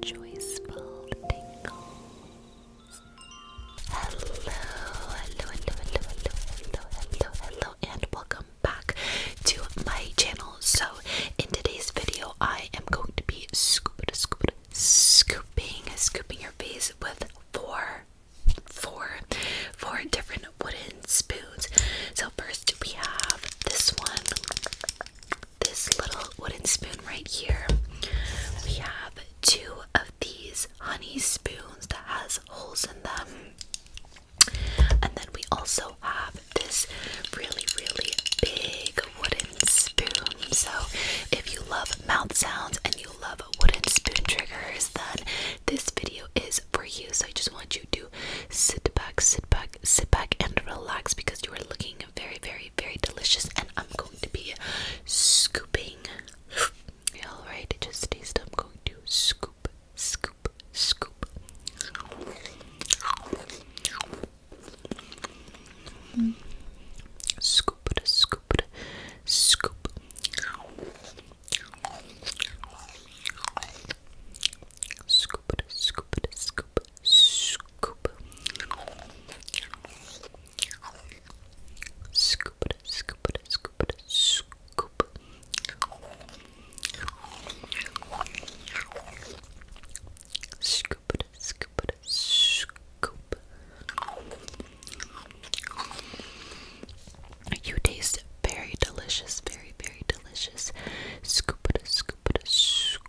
joyful tingles. Hello, hello, hello, hello, hello, hello, hello, hello, and welcome back to my channel. So, in today's video, I am going to be scoop, scoop, scooping, scooping your face with four, four, four different wooden spoons. So, first we have this one this little wooden spoon right here. We have two of these honey spoons that has holes in them. And then we also have this really, really big wooden spoon. So if you love mouth sounds and you love wooden spoon triggers, then this video is for you. So I just want you to sit back, sit back, sit back and relax because you are looking very, very, very delicious, and I'm going to be scooping. All right, just taste. I'm going to scoop, scoop, scoop. Scoop scoop scoop. Scoop scoop scoop scoop, scoop it, scoop it, scoop it, scoop. Scoop it, scoop it, scoop. You taste very delicious, very, very delicious. Scoop it, scoop it, scoop.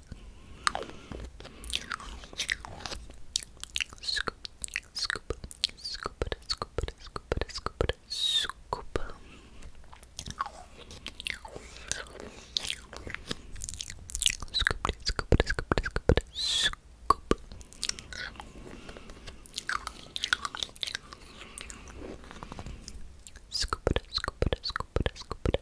Scoop, scoop, scoop it, scoop it, scoop it, scoop it, scoop it. Scoop it, scoop it, scoop it, scoop it, scoop. Scoop it, scoop it, scoop it, scoop it,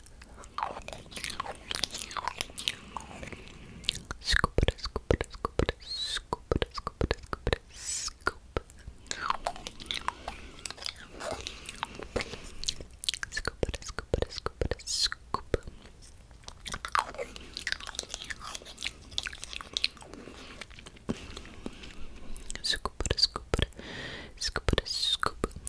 Scoop it, scoop it, scoop it, scoop it, scoop it, scoop it, scoop. Scoop it, scoop it, scoop it, scoop. Scoop it, scoop it, scoop it, scoop.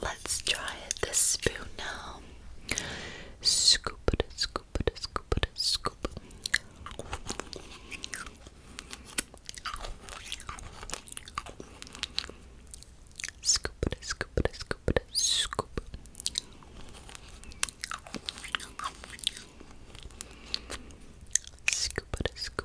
Let's try it this spoon now. Scoop it, scoop it, scoop it, scoop. Scoop it, scoop it, scoop it, scoop. Scoop it, scoop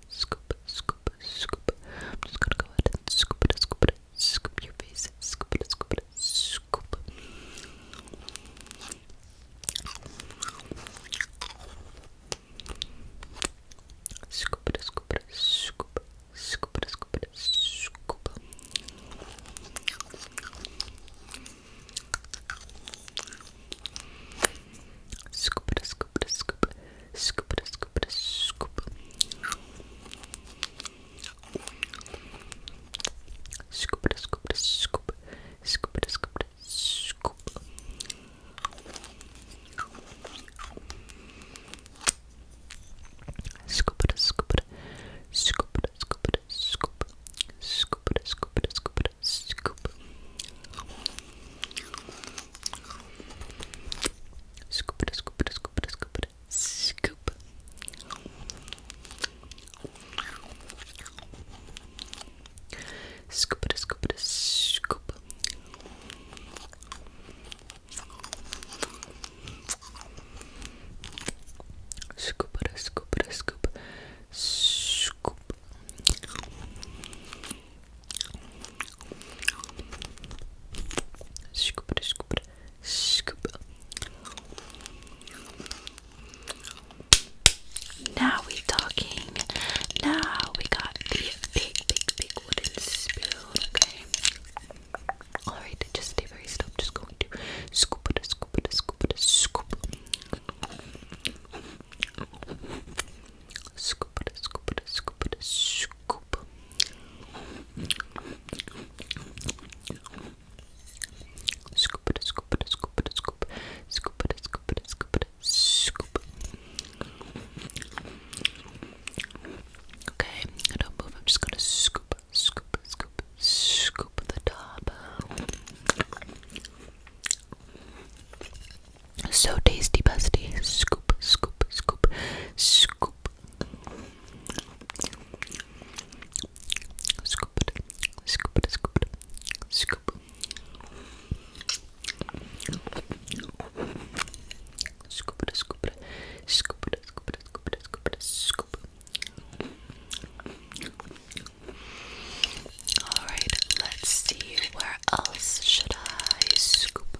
scoop, scoop, scoop. I'm just gonna go ahead and scoop it, scoop it, scoop your face, scoop it, scoop it, scoop. Scoop it, scoop it, scoop, scoop it, scoop it, scoop. Scoop it, scoop it, scoop. Scoop it, scoop it, scoop. Scoop it, scoop it, scoop. Scoop it, scoop it, scoop. Scoop it, scoop it, scoop it, scoop it, scoop. Scoop it, scoop it, scoop it, scoop. Scoop it, scoop it, scoop it, scoop it, scoop. Scoop it, scoop it, scoop. Scoop it, scoop it, scoop. Scoop. Scoop it, scoop it, scoop it. Now we talking. Now we got the big, big, big wooden spoon. Okay. Alright, just stay very still. I'm just going to scoop it, scoop it, scoop it, scoop. Scoop scoop it, scoop it, scoop it, scoop. Scoop it, scoop it, scoop it, scoop. Scoop it, scoop it, scoop it, scoop. Okay, I don't move. I'm just gonna scoop, scoop, scoop, scoop the top. So tasty, busty. Scoop, scoop, scoop, scoop. Scoop it, scoop it, scoop it, scoop. Scoop it, scoop it, scoop it, scoop it, scoop it, scoop it, scoop. All right, let's see where else should I scoop,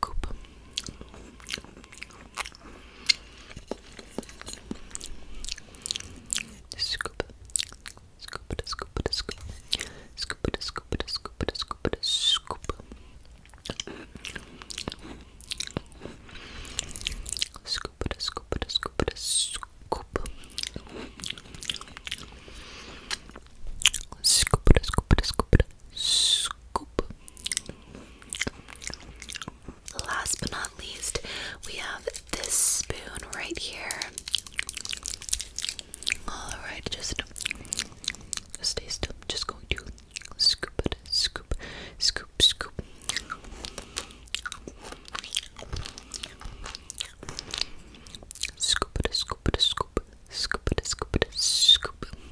Coop. Scoop. Scoop it, scoop it, scoop. Scoop it, scoop it, scoop it, scoop it, scoop. Scoop it, scoop it, scoop it, scoop. Scoop it, scoop it, scoop it, scoop. Last but not least, we have this spoon right here. Alright, just, stay still. Just going to scoop it, scoop, scoop, scoop. Scoop scoop scoop, scoop scoop scoop.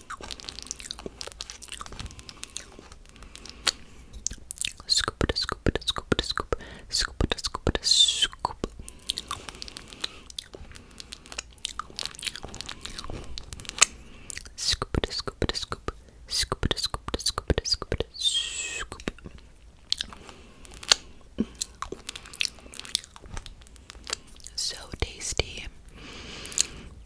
Scoop it, scoop it, scoop it, scoop scoop it, scoop it, scoop Scoop it, scoop it, scoop scoop it, scoop it, scoop it, scoop it, scoop So tasty.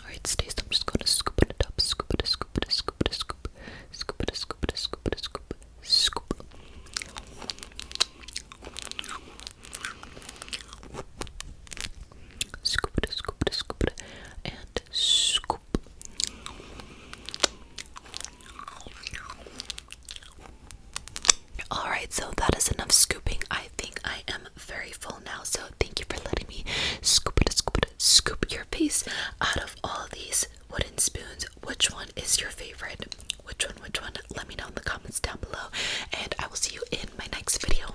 Alright, stays. I'm just gonna scoop it up, scoop it, scoop it, scoop it, scoop, scoop it, scoop it, scoop it, scoop scoop. Scoop it, scoop it, scoop it, and scoop. Alright, so that is enough scooping. I think I am very full now, so thank you for letting me scoop it, scoop it, scoop your piece out of all these wooden spoons. Which one is your favorite? Which one? Which one? Let me know in the comments down below, and I will see you in my next video.